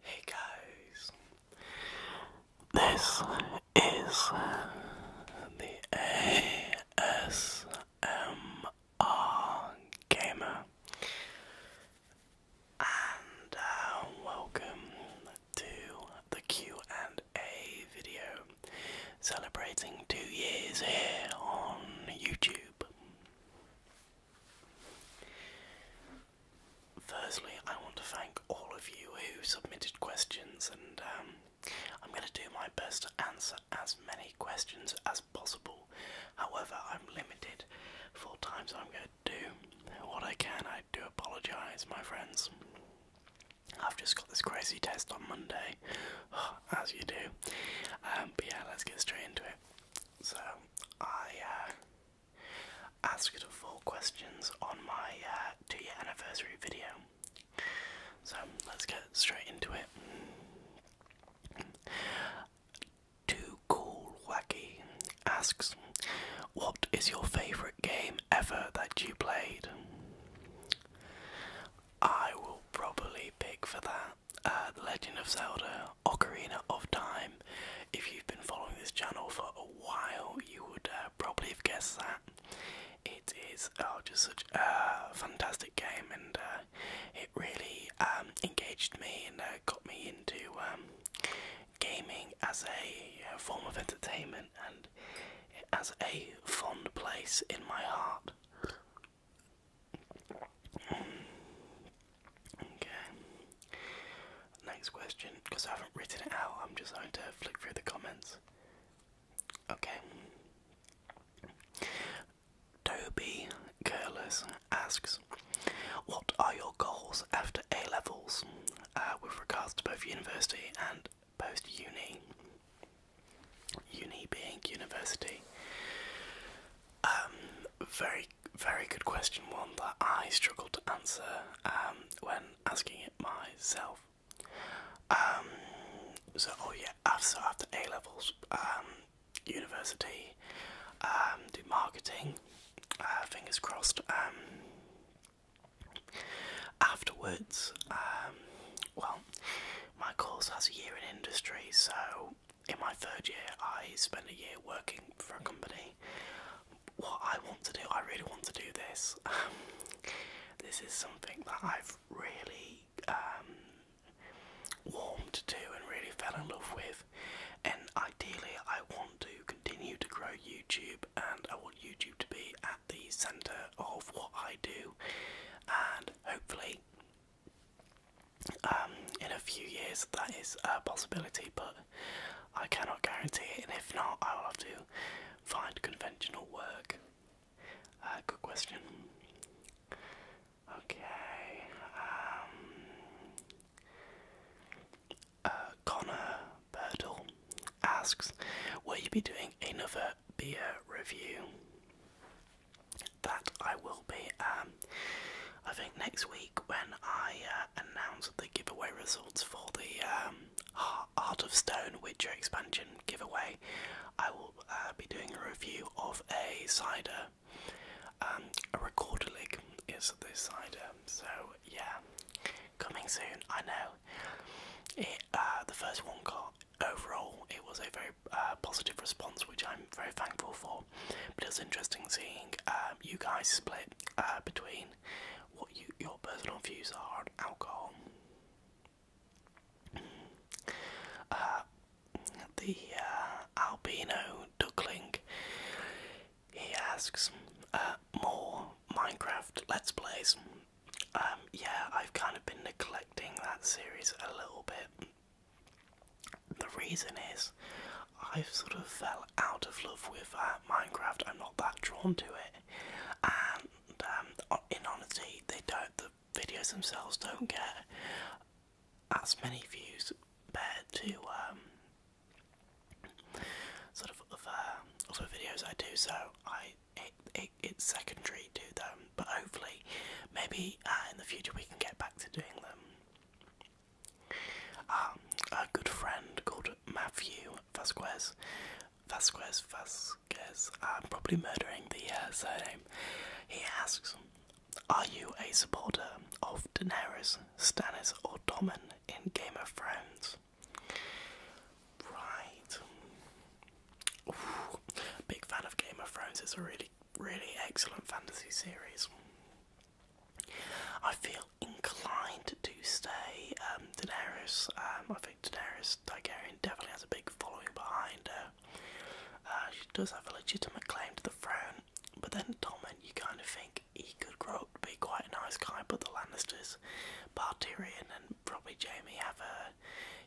Hey guys, this is the ASMR Gamer, and uh, welcome to the Q and A video celebrating two years here on YouTube. Firstly, I want to thank all of you who submitted questions, and um, I'm going to do my best to answer as many questions as possible. However, I'm limited for times I'm going to do what I can. I do apologise, my friends. I've just got this crazy test on Monday, as you do. Um, but yeah, let's get straight into it. So I uh, asked four questions on my uh, two-year anniversary video. So let's get straight into it. Too cool, wacky asks, "What is your favourite game ever that you played?" I will probably pick for that uh, Legend of Zelda Ocarina of Time. If you've been following this channel for a while, you would uh, probably have guessed that. It is oh, just such a fantastic game, and uh, it really um, engaged me and got me into um, gaming as a form of entertainment. And it has a fond place in my heart. Okay. Next question, because I haven't written it out, I'm just going to flick through the comments. Okay. Toby Curlers asks, What are your goals after A levels uh, with regards to both university and post uni, uni being university. Um, very, very good question, one that I struggled to answer um, when asking it myself. Um, so, oh yeah, after, after A levels, um, university, um, did marketing, uh, fingers crossed, um, Afterwards, um, well, my course has a year in industry, so in my third year, I spend a year working for a company. What I want to do, I really want to do this. Um, this is something that I've really um, warmed to and really fell in love with, and ideally, I want to continue to grow YouTube, and I want YouTube to be at the centre of what I do, and hopefully, um, in a few years, that is a possibility, but I cannot guarantee it. And if not, I will have to find conventional work. Uh, good question. Okay. Um, uh, Connor Birdle asks, Will you be doing another beer review? That I will be. Um, I think next week when I uh, announce the giveaway results for the um, Art of Stone Witcher expansion giveaway, I will uh, be doing a review of a cider. Um, a recorder leg is this cider. So yeah, coming soon. I know. It uh, the first one got overall it was a very uh, positive response, which I'm very thankful for. But it was interesting seeing um, you guys split uh, between what you, your personal views are on alcohol. the albino duckling. He asks, more Minecraft Let's Plays. Um, yeah, I've kind of been neglecting that series a little bit. The reason is I've sort of fell out of love with uh, Minecraft. I'm not that drawn to it, and um, in honesty, they don't. The videos themselves don't get as many views compared to um, sort of other, other videos I do. So I it, it it's secondary to them. But hopefully, maybe uh, in the future we can get back to doing them. Um, a good friend called Matthew Vasquez, Vasquez Vasquez. I'm um, probably murdering the uh, surname. He asks, "Are you a supporter of Daenerys, Stannis, or Tommen in Game of Thrones?" Right. big fan of Game of Thrones. It's a really, really excellent fantasy series. I feel inclined to stay. Um, Daenerys. Um, I think Daenerys Targaryen definitely has a big following behind her. Uh, she does have a legitimate claim to the throne, but then Tommen, you kind of think he could grow up to be quite a nice guy, but the Lannisters, Bar and probably Jamie have a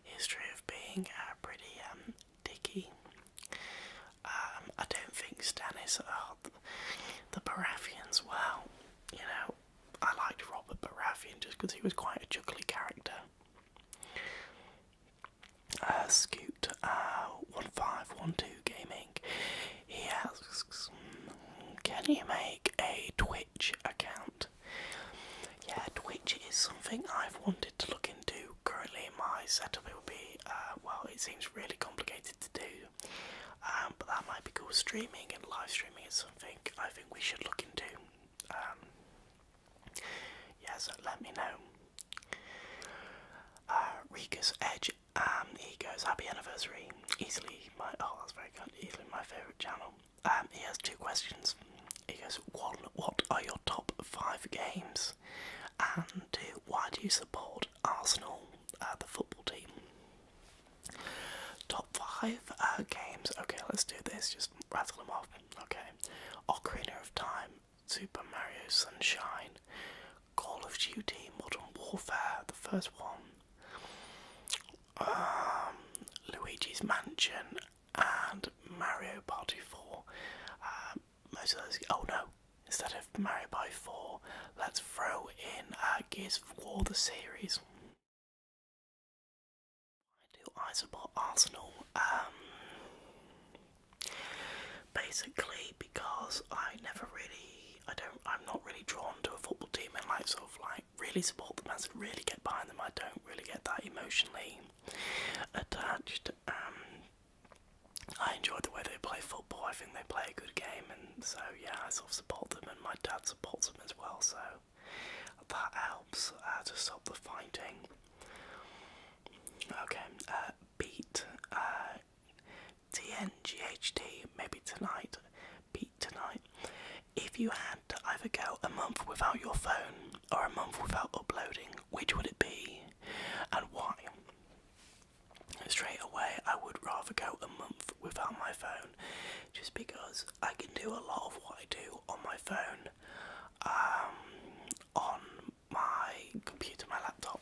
history of being uh, pretty um, dicky. Um, I don't think Stannis, uh, the Baratheons, well, you know, I liked Robert Baratheon just because he was quite a juggly character. Uh, Scoot, uh, 1512 Gaming, he asks, hmm, can you make a twin Twitch account. Yeah, Twitch is something I've wanted to look into. Currently, my setup will be uh, well, it seems really complicated to do, um, but that might be cool. Streaming and live streaming is something I think we should look into. Um, yeah, so let me know. Uh, Rika's Edge, um, he goes, Happy anniversary. Easily my, oh, that's very good. Easily my favourite channel. Um, he has two questions. He goes, one, what are your top five games? And two, why do you support Arsenal, uh, the football team? Top five uh, games. Okay, let's do this. Just rattle them off. Okay, Ocarina of Time, Super Mario Sunshine, Call of Duty, Modern Warfare, the first one. Um, Luigi's Mansion and Mario Party 4. Um, most of those. Oh no! Instead of Mario Party 4, let's throw in uh, Gears of the series. I do I support Arsenal? Um, basically because I never really, I don't, I'm not really drawn to a football team in like of like really support them as, and really get behind them. I don't really get that emotionally attached. Um, I enjoy the way they play football. I think they play a good game, and so yeah, I sort of support them, and my dad supports them as well. So that helps uh, to stop the fighting. Okay, uh, beat TNGHT uh, maybe tonight tonight. If you had to either go a month without your phone or a month without uploading, which would it be and why? Straight away, I would rather go a month without my phone just because I can do a lot of what I do on my phone, um, on my computer, my laptop.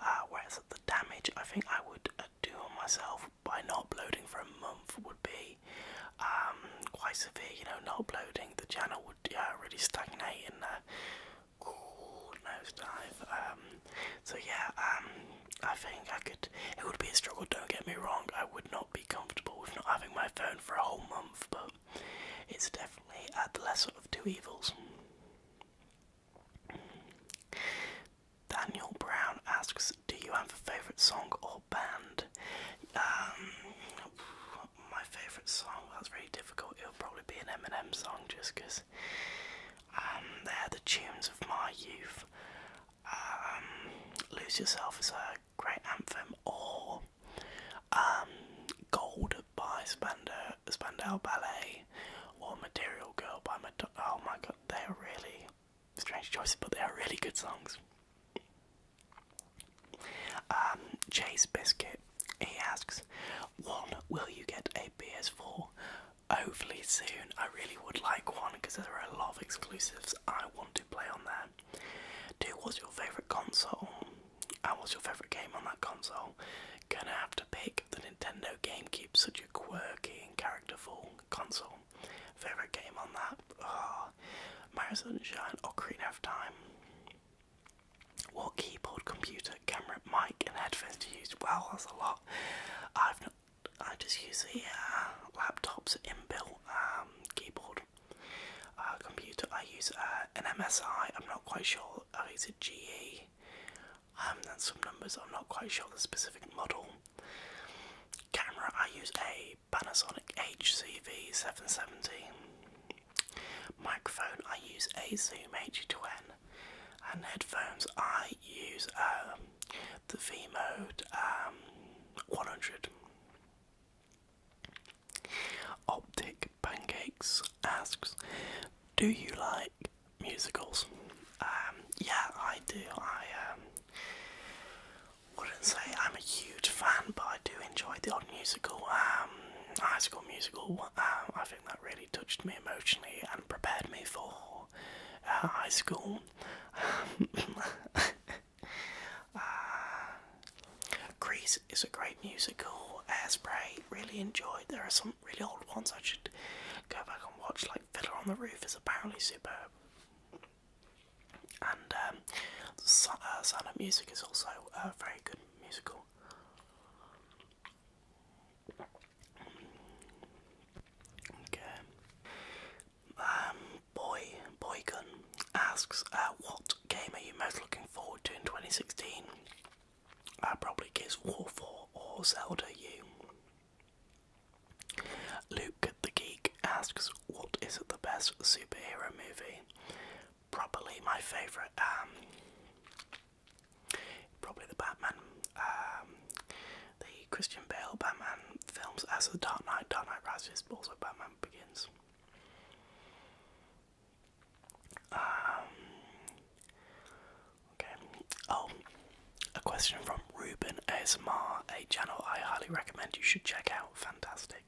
Uh, whereas the damage I think I would uh, do on myself by not uploading for a month would be um, quite severe. You know, not uploading the channel would uh, really stagnate and uh, cool nosedive. Um, so yeah, um, I think I could. It would be a struggle. Don't get me wrong. I would not be comfortable with not having my phone for a whole month, but it's definitely at the lesser of two evils. Daniel Brown asks, do you have a favourite song or band? Um, my favourite song, that's really difficult. It'll probably be an Eminem song just because um, they're the tunes of my youth. Um, Lose Yourself is a great anthem, or Gold by Spandau, Spandau Ballet, or Material Girl by Madonna. Oh my god, they're really strange choices, but they are really good songs. Um, Chase Biscuit, he asks, one, will you get a PS4? Hopefully soon. I really would like one because there are a lot of exclusives I want to play on that. Two, what's your favourite console? And what's your favourite game on that console? Gonna have to pick the Nintendo GameCube, such a quirky and characterful console. Favorite game on that? My Oh, i Sunshine, Ocarina of Time. What keyboard, computer, camera, mic, and headphones do you use? Wow, that's a lot. I've not. I just use a uh, laptop's inbuilt um, keyboard. Uh, computer. I use uh, an MSI. I'm not quite sure. I use a GE. And some numbers. I'm not quite sure the specific model. Camera. I use a Panasonic HCV770. Microphone I use a Zoom H2N, and headphones I use um, the V Mode um, 100. Optic Pancakes asks, "Do you like musicals?" Um, yeah, I do. I wouldn't say I'm a huge fan, but I do enjoy the odd musical. Um, high School Musical. Um, I think that really touched me emotionally and prepared me for uh, high school. Uh, Grease is a great musical. Airspray, really enjoyed. There are some really old ones I should go back and watch. Like Fiddler on the Roof is apparently superb. And um, uh, Sound of Music is also a very good musical. Okay. Um, Boy Boygun asks, uh, "What game are you most looking forward to in 2016?" Uh, probably Gears War 4 or Zelda U. Luke the asks, what is the best superhero movie? Probably my favourite, um, probably the Batman, um, the Christian Bale Batman films as The Dark Knight, Dark Knight Rises, also Batman Begins. Um, okay, oh, a question from Ruben ASMR, a channel I highly recommend you should check out, fantastic.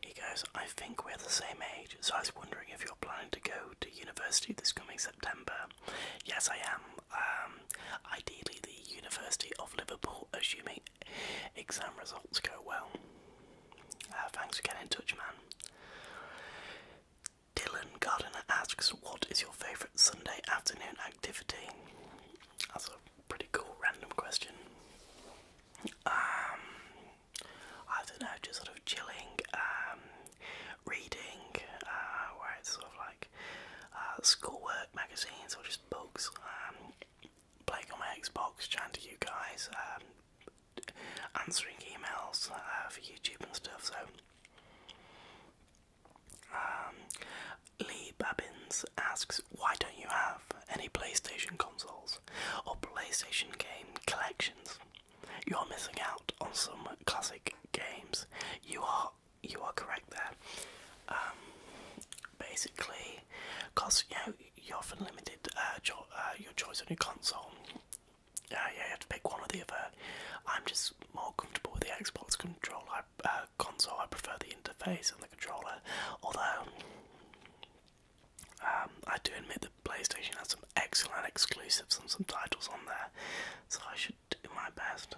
He goes, I think we're the same age, so I was wondering if you're planning to go to university this coming September. Yes, I am. Um, ideally, the University of Liverpool, assuming exam results go well. Uh, thanks again, getting in touch, man. Dylan Gardiner asks, What is your favourite Sunday afternoon activity? That's pretty cool random question. Um, I don't know, just sort of chilling, um, reading, uh, where it's sort of like uh, schoolwork magazines or just books, um, playing on my Xbox, chatting to you guys, answering emails uh, for YouTube and stuff. So, Lee Babbins asks, Why don't you have any PlayStation consoles or PlayStation game collections? You are missing out on some classic games. You are you are correct there. Um, basically, because you you're often limited uh, uh, your choice on your console. yeah, uh, you have to pick one or the other. I'm just more comfortable with the Xbox controller. I, uh, console, I prefer the interface and the controller. Although, um, I do admit that PlayStation has some excellent exclusives and some titles on there, so I should do my best.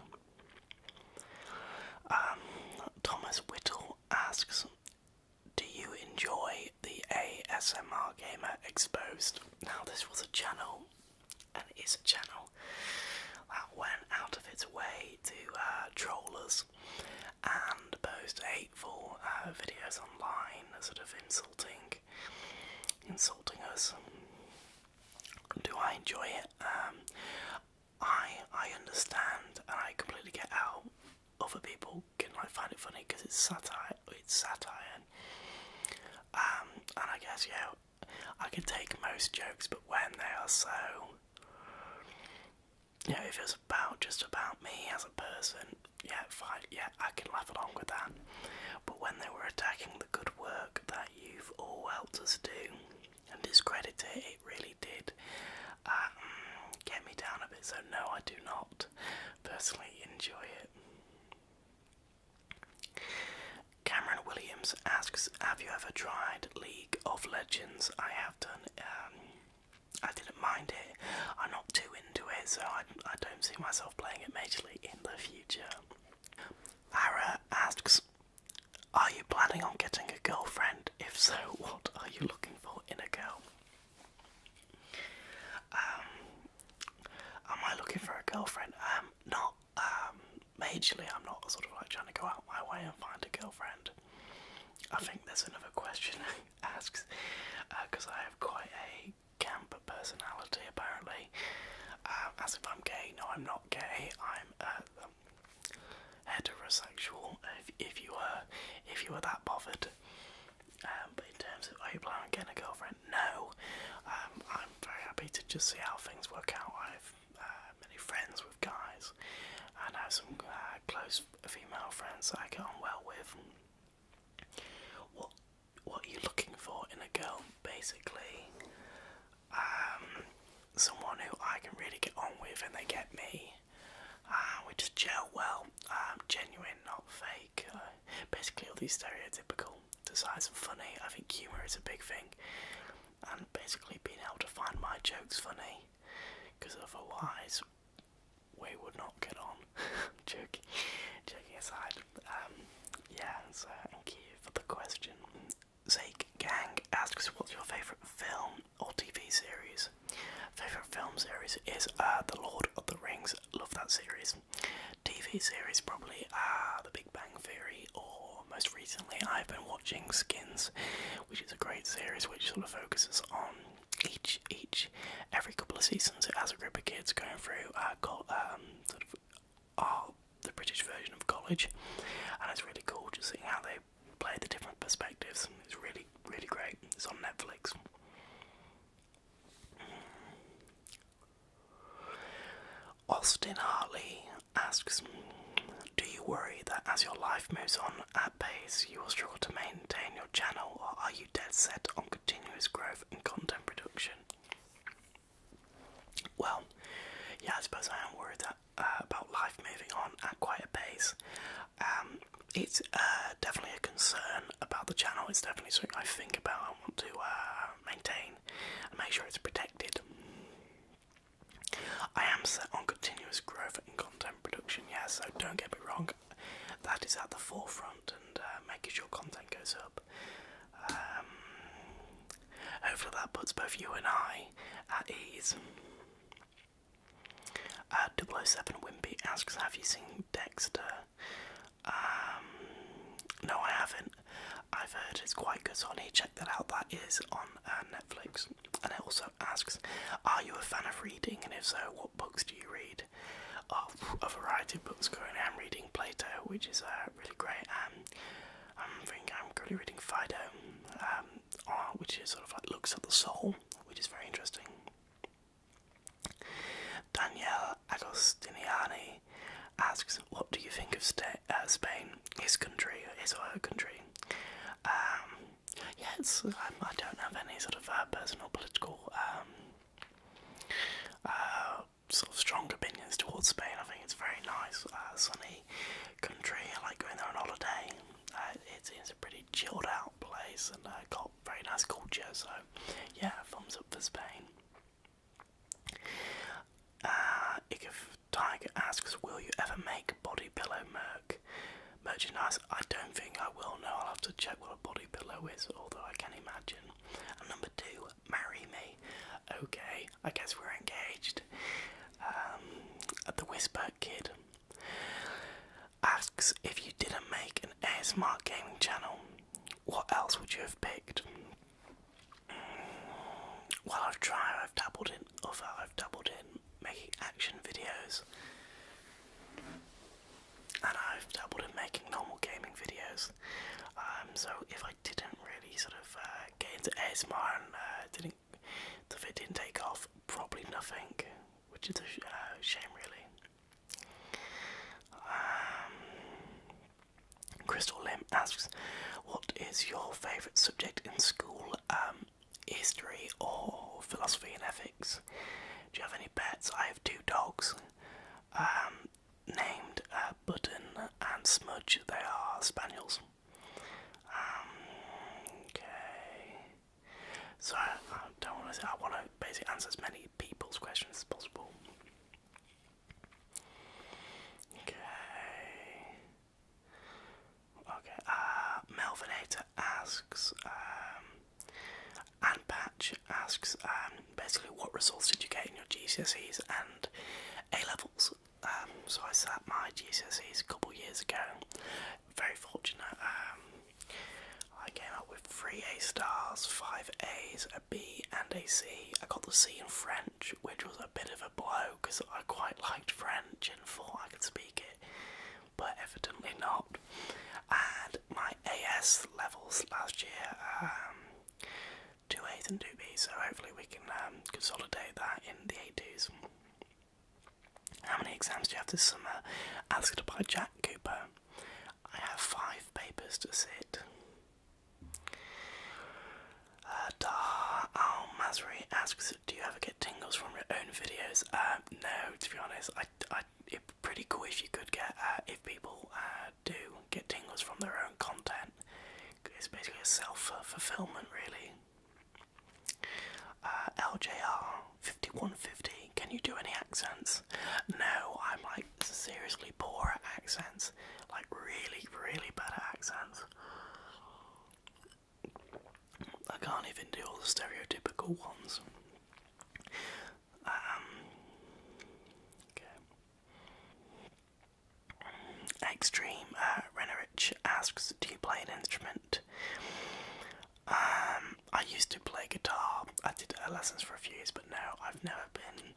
Um, Thomas Whittle asks, "Do you enjoy the ASMR Gamer Exposed?" Now, this was a channel, and it is a channel that uh, went out of its way to uh, troll us and post hateful uh, videos online, sort of insulting, insulting us. Do I enjoy it? Um, I I understand and I completely get how other people can find it funny because it's satire. It's satire. Um, and I guess yeah, I can take most jokes, but when they are so you know, if it's about just about me as a person, yeah, fine, yeah, I can laugh along with that. But when they were attacking the good work that you've all helped us do and discredit it, it really did um, get me down a bit. So no, I do not personally enjoy it. Cameron Williams asks, "Have you ever tried League of Legends?" I have done. Um, I didn't mind it. I'm not too into it, so I, I don't see myself playing it majorly in the future. Ara asks, are you planning on getting a girlfriend? If so, what are you looking for in a girl? Um, am I looking for a girlfriend? Um, not, um, majorly. I'm not sort of like trying to go out my way and find a girlfriend. I think there's another question asks because uh, I have quite a camp personality apparently. Um, as if I'm gay, no, I'm not gay. I'm uh, um, heterosexual. If you were if you were that bothered, um, but in terms of are you planning to get a girlfriend? No. Um, I'm very happy to just see how things work out. I've uh, many friends guys, and I have some uh, close female friends that I get on well with. What what are you looking for in a girl? Basically, um, someone who I can really get on with, and they get me. Uh, we just gel well. Um, genuine, not fake. Uh, basically, all these stereotypical decides and funny. I think humour is a big thing, and basically being able to find my jokes funny because otherwise we would not get on. joking, joking aside. Um, yeah, so thank you for the question. Zake Gang asks, "What's your favourite film or TV series?" Favourite film series is uh, The Lord of the Rings. Love that series. TV series probably are uh, The Big Bang Theory, or most recently I've been watching Skins, which is a great series which sort of focuses on each each every couple of seasons it has a group of kids going through uh, called, um, sort of uh, the British version of college, and it's really cool just seeing how they play the different perspectives. It's really really great. It's on Netflix. Austin Hartley asks, "Do you worry that as your life moves on, pace, you will struggle to maintain your channel, or are you dead set on continuous growth and content production? Well, yeah, I suppose I am worried uh, about life moving on at quite a pace. Um, it's uh, definitely a concern about the channel. It's definitely something I think about. I want to uh, maintain and make sure it's protected. I am set on continuous growth in content production, yeah, so don't get me wrong, that is at the forefront and uh, making sure content goes up. Um, hopefully, that puts both you and I at ease. Uh, 007 Wimpy asks, Have you seen Dexter? Um, no, I haven't. I've heard it's quite good, so check that out. That is on uh, Netflix. And it also asks, are you a fan of reading? And if so, what books do you read? Oh, a variety of books currently. I'm reading Plato, which is uh, really great. Um, I'm thinking I'm currently reading Fido, um, uh, which is sort of like looks at the soul, which is very interesting. Danielle Agostiniani asks, "What do you think of sta uh, Spain, his country, is or her country?" Um, Yes, I don't have any sort of uh, personal political um, uh, sort of strong opinions towards Spain. I think it's a very nice, uh, sunny country. I like going there on holiday. Uh, it's, it's a pretty chilled out place and uh, got very nice culture. So yeah, thumbs up for Spain. if Tiger asks, will you ever make body pillow merc merchandise. I don't think I will know. I'll have to check what a body pillow is, although I can imagine. number two, marry me. Okay, I guess we're engaged. Um, the Whisper Kid asks if you didn't make an ASMR gaming channel, what else would you have picked? Mm, well, I've tried. I've dabbled in other. I've dabbled in making action videos, and I've doubled in making normal gaming videos. Um, so if I didn't really sort of uh, get into ASMR and uh, didn't, if it didn't take off, probably nothing, which is a uh, shame really. Um, Crystal Lim asks, "What is your favourite subject in school?" Um, history or philosophy and ethics. Do you have any pets? I have two dogs um, named uh, Button and Smudge. They are spaniels. Um, okay. So I don't want to say, I want to basically answer as many people's questions as possible. Okay. Okay, uh, Melvinator asks, um, and Patch asks, um, basically, what results did you get in your GCSEs and A levels? Um, so I sat my GCSEs a couple years ago. Very fortunate. Um, I came up with three A stars, five A's, a B, and a C. I got the C in French, which was a bit of a blow because I quite liked French and thought I could speak it but evidently not. And my AS levels last year, um, two A's and two B's, so hopefully we can um, consolidate that in the a How many exams do you have this summer? Asked by Jack Cooper. I have five papers to sit. Uh, Dar Al Masri asks do you ever get tingles from your own videos? Uh, no, to be honest, I, I, it'd be pretty cool if you could get, uh, if people uh, do get tingles from their own content. It's basically a self-fulfillment, really. Uh, LJR5150, can you do any accents? No, I'm like seriously poor at accents. Like really, really bad accents. I can't even do all the stereotypical ones. Um, Extreme uh, Rennerich asks, "Do you play an instrument?" Um, I used to play guitar. I did uh, lessons for a few years, but no, I've never been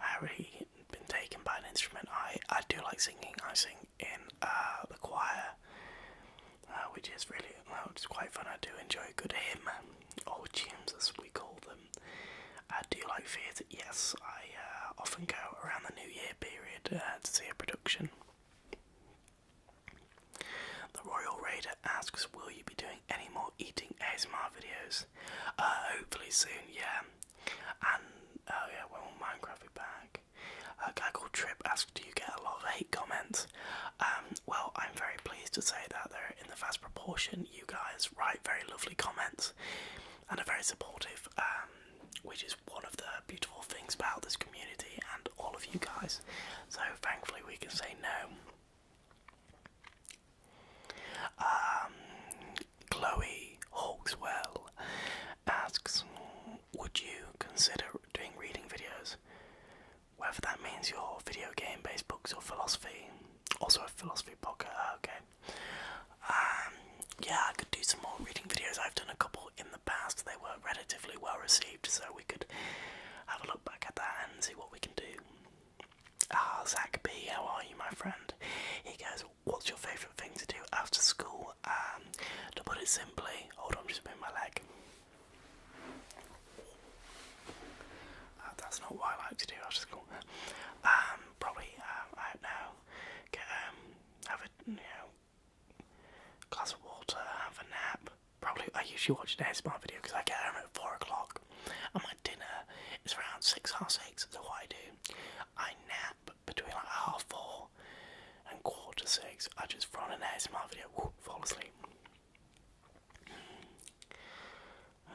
uh, really been taken by an instrument. I I do like singing. I sing in uh, the choir. Uh, which is really well, it's quite fun. I do enjoy good hymn, old tunes as we call them. I do like theatre. Yes, I uh, often go around the New Year period uh, to see a production. The Royal Raider asks, "Will you be doing any more eating ASMR videos?" hopefully soon. Yeah, and oh yeah, when will Minecraft be back? A guy called Trip asked, "Do you get a lot of comments. Um, well, I'm very pleased to say that in the vast proportion, you guys write very lovely comments and are very supportive, um, which is one of the beautiful things about this community and all of you guys. So, thankfully, we can say no. Um, Chloe Hawkswell asks, would you consider doing reading videos? whether that means your video game based books or philosophy, also a philosophy book. Ah, okay. Um, yeah, I could do some more reading videos. I've done a couple in the past, they were relatively well received, so we could have a look back at that and see what we can do. Ah, Zach B, how are you, my friend? He goes, What's your favourite thing to do after school? Um, to put it simply, hold on, just move my leg. Uh, that's not what I like to do. I just go um, probably um, I don't know, get um, have a you know glass of water, have a nap. Probably I usually watch an ASMR video because I get home at four o'clock, and my dinner is around six half six. So what I do, I nap between like half four and quarter six. I just run an ASMR video, fall asleep. Um,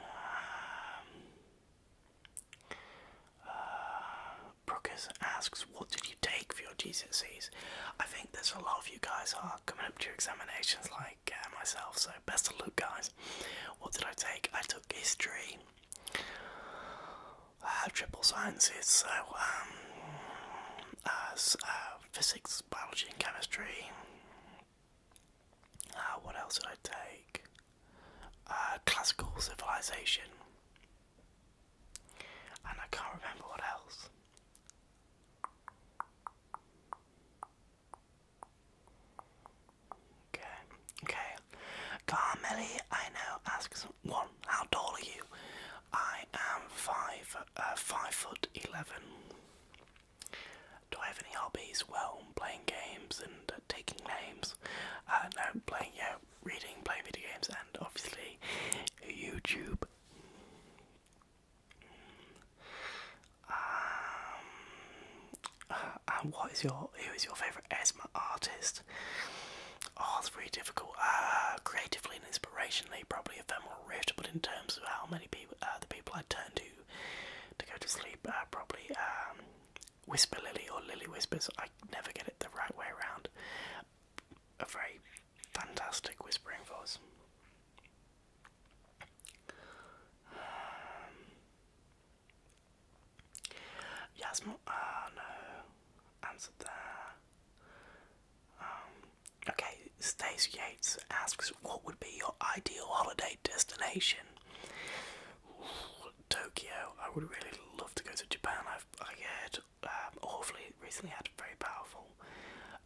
uh, asks, What did you take for your GCSEs? I think there's a lot of you guys are coming up to your examinations like uh, myself, so best of luck, guys. What did I take? I took history, I uh, had triple sciences, so um, uh, uh, physics, biology, and chemistry. Uh, what else did I take? Uh, classical civilization. And I can't remember what else. Okay, okay. Carmeli, I know, asks one, how tall are you? I am five, uh, five foot eleven. Do I have any hobbies? Well, playing games and uh, taking names. Uh, no, playing, yeah, reading, playing video games, and obviously YouTube. Um, and what is your who is your favourite ESMA artist? Oh, it's very difficult. Uh, creatively aspirationally probably a bit more rift, but in terms of how many people, uh, the people I turn to to go to sleep, uh, probably um, Whisper Lily or Lily Whispers. I never get it the right way around. A very fantastic whispering voice. Um, ah no, answered there. Um, Okay, Stacey Yates asks, What would be your ideal holiday destination? Tokyo. I would really love to go to Japan. I've I heard um, awfully recently had a very powerful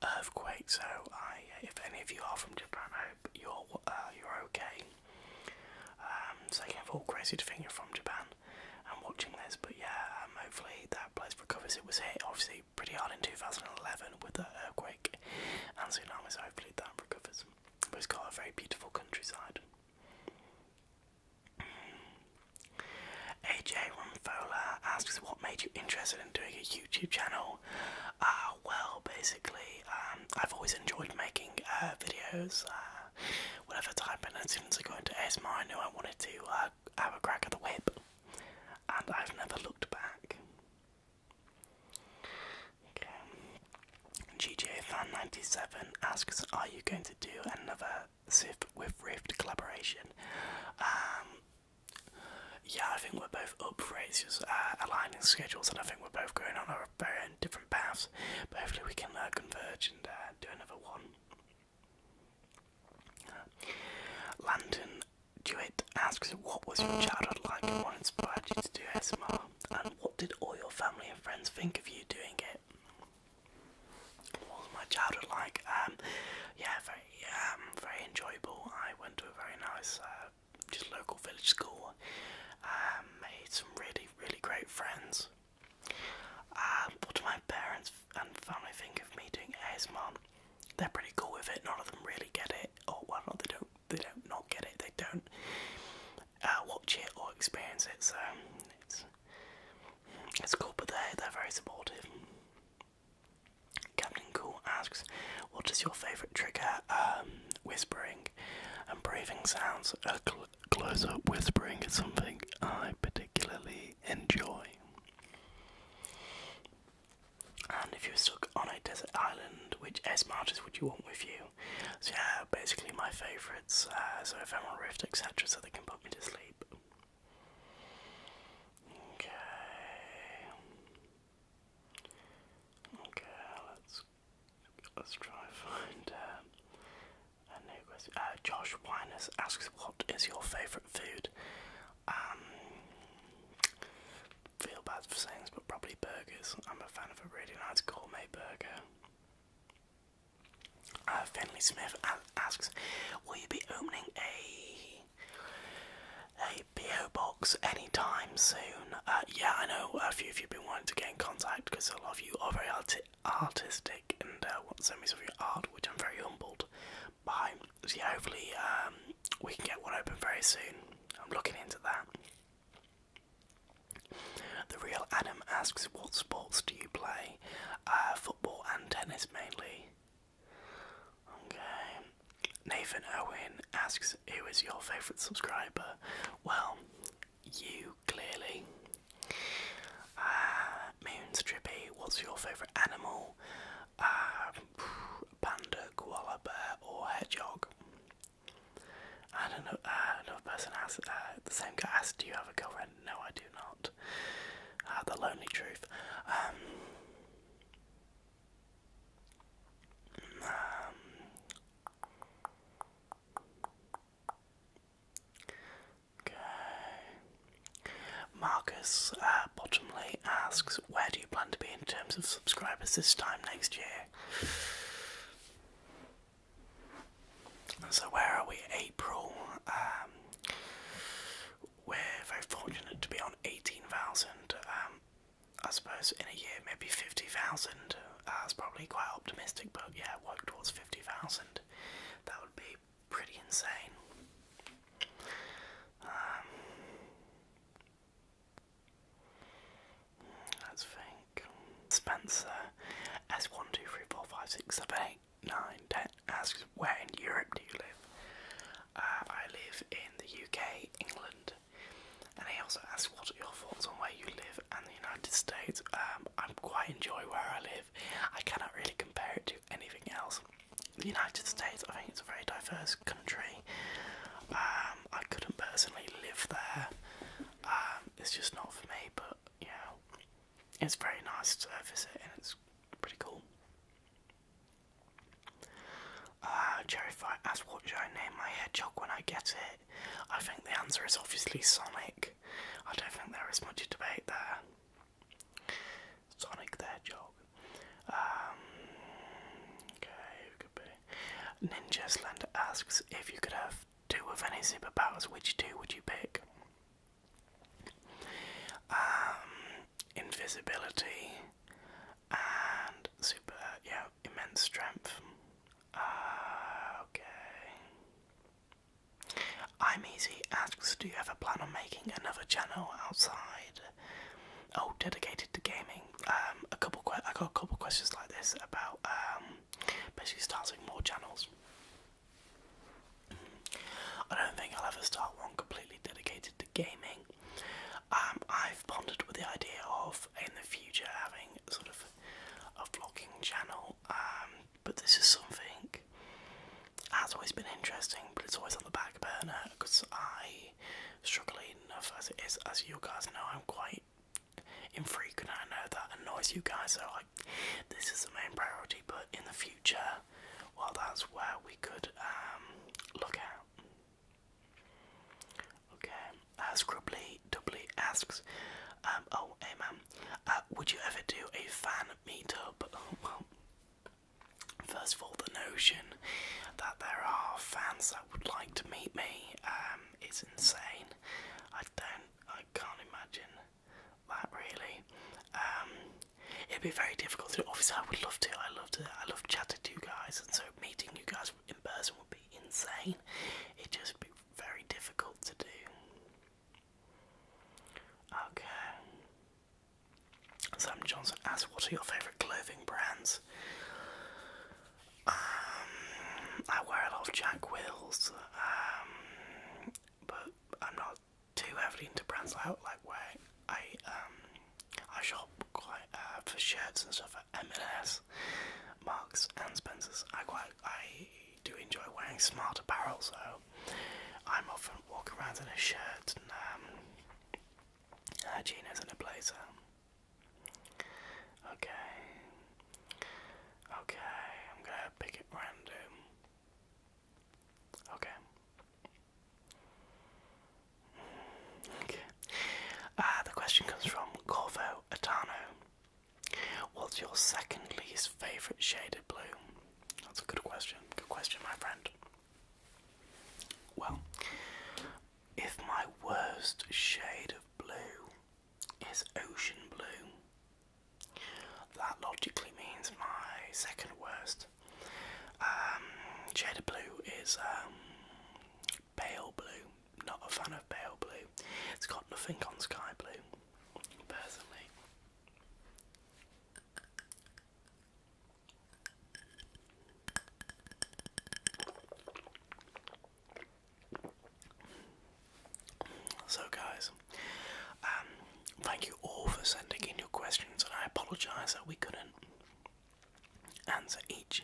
earthquake, so I, if any of you are from Japan, I hope you're uh, you're okay. Um, second of all, crazy to think you're from Japan and watching this, but yeah, um, hopefully that place recovers. It was hit obviously pretty hard in 2011 with the earthquake and tsunami, so hopefully that recovers. But it's got a very beautiful countryside. AJ Rumfola asks, What made you interested in doing a YouTube channel? Uh, well, basically, um, I've always enjoyed making uh, videos, uh, whatever type, and as are going to got into ASMR, I knew I wanted to uh, have a crack at the whip, and I've never looked back. Okay. GTA 97 asks, "Are you going to do another SIF with Rift collaboration?" Um, yeah, I think we're both up for it. It's just uh, aligning schedules, and I think we're both going on our very own different paths. But hopefully, we can uh, converge and uh, do another one. Landon Dewitt asks, What was your childhood like and what inspired you to do ASMR? And what did all your family and friends think of you doing it? What was my childhood like? Um, yeah, very, um, very enjoyable. I went to a very nice, uh, just local village school. Um, made some really, really great friends. Um, what do my parents and family think of me doing ASMR. They're pretty cool with it. None of them really get it. Or oh, well, not they don't. They don't not get it. They don't uh, watch it or experience it. So it's it's cool. But they they're very supportive. Captain Cool asks, "What is your favourite trigger?" Um, whispering and breathing sounds. A close up whispering is something I particularly enjoy. And if you're stuck on a desert island, which S marches would you want with you? So yeah, basically my favourites, So uh, so Ephemeral Rift, etc., so they can put me to sleep. Okay. Okay, let's let's try and find uh, a new question. Uh, Josh Winers asks, "What is your favourite food?" Um, feel bad for saying this, but probably burgers. I'm a fan of a really nice gourmet burger. Uh, Finley Smith asks, "Will you be opening a a PO box anytime soon?" Uh, yeah, I know a few of you've been wanting to get in contact because a lot of you are very artistic and uh, want to send me some of your art, which I'm very humbled Bye. So hopefully um, we can get one open very soon. I'm looking into that. The real Adam asks, "What sports do you play? Uh, football and tennis mainly." Okay. Nathan Owen asks, "Who is your favourite subscriber?" Well, you clearly. Uh, Moonstrippy, what's your favourite animal? Uh, panda, koala bear, or hedgehog. I don't know. Uh, another person asked. Uh, the same guy asked, "Do you have a girlfriend?" No, I do not. Uh, the lonely truth. Um, um, okay. Marcus uh, Bottomley asks, Where do you plan to be in terms of subscribers this time next year? So, where are we? April. Um, we're very fortunate to be on 18,000. Um, I suppose in a year, maybe 50,000. Uh, that's probably quite optimistic, but yeah, work towards 50,000. That would be pretty insane. Um, that's fake. Spencer S one two three four five six seven eight nine ten asks where in Europe do you live? Uh, I live in the UK, England. And he also asks what are your thoughts on where you live and the United States. Um, i quite enjoy where I live. I cannot really compare it to anything else the United States, I think it's a very diverse country. Um, I couldn't personally live there. Um, it's just not for me, but you it's very nice to visit and it's pretty cool. Uh, Jerry asked what should I name my hedgehog when I get it. I think the answer is obviously Sonic. I don't think there is much debate there. Sonic the Hedgehog. Um, okay, who could be? Ninja Slender asks if you could have two of any superpowers, which two would you pick? Um, invisibility and super, yeah, immense strength. Uh, okay. I'm Easy asks, do you have a plan on making another channel outside Oh, dedicated to gaming. Um, a couple. I got a couple questions like this about um, basically starting more channels. I don't think I'll ever start one completely dedicated to gaming. Um, I've pondered with the idea of in the future having sort of a vlogging channel, but this is something that's always been interesting, but it's always on the back burner because I struggling enough as as you guys know, I'm quite infrequent. I know that annoys you guys, so like this is the main priority, but in the future, well, that's where we could um, look at. Okay, uh, Scribbly asks, um, oh, hey man, uh, would you ever do a fan meetup? well, First of all, the notion that there are fans that would like to meet me um, is insane. I don't, I can't imagine that really. Um, it'd be very difficult Obviously, I would love to. I love to. I love chatting to you guys, and so meeting you guys in person would be insane. It'd just be very difficult to do. Okay. Sam Johnson asks, What are your favourite clothing brands? Um, I wear a lot of Jack Wills, um, but I'm not too heavily into brands out like where I um, I shop quite uh, for shirts and stuff at M&S, Marks and Spencers. I quite I do enjoy wearing smart apparel, so I'm often walking around in a shirt and Hygiene isn't a blazer. Okay. Okay, I'm gonna pick it random. Okay. Okay. Uh, the question comes from Corvo Atano. What's your second least favourite shade of blue? That's a good question. Good question, my friend. Well, if my worst shade of blue is ocean blue, that logically means my second worst um, shade of blue is um, pale blue. Not a fan of pale blue. It's got nothing on sky blue, personally. So, guys, um, thank you all for sending in your questions, and I apologise that we couldn't answer each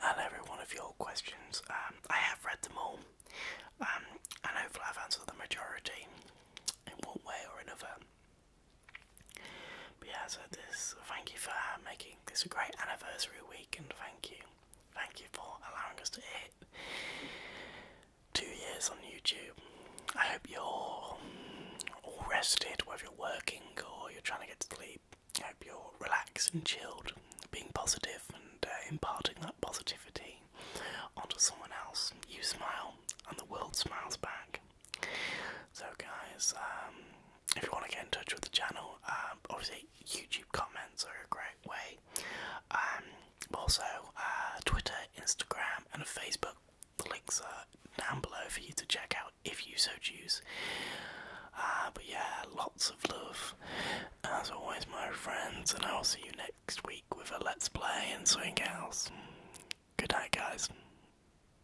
and every one of your questions. Um, I have read them all, um, and hopefully, I've answered the majority in one way or another. But yeah, so this thank you for uh, making this a great anniversary week, and thank you, thank you for allowing us to hit two years on YouTube. I hope you're all rested, whether you're working or you're trying to get to sleep. I hope you're relaxed and chilled, being positive and uh, imparting that positivity onto someone else. You smile, and the world smiles back. So, guys, um, if you want to get in touch with the channel, um, obviously YouTube comments are a great way. Um, also, uh, Twitter, Instagram, and Facebook. The links are down below for you to check out if you so choose. Uh, but yeah, lots of love as always, my friends, and I'll see you next week with a Let's Play and something else. Good night, guys.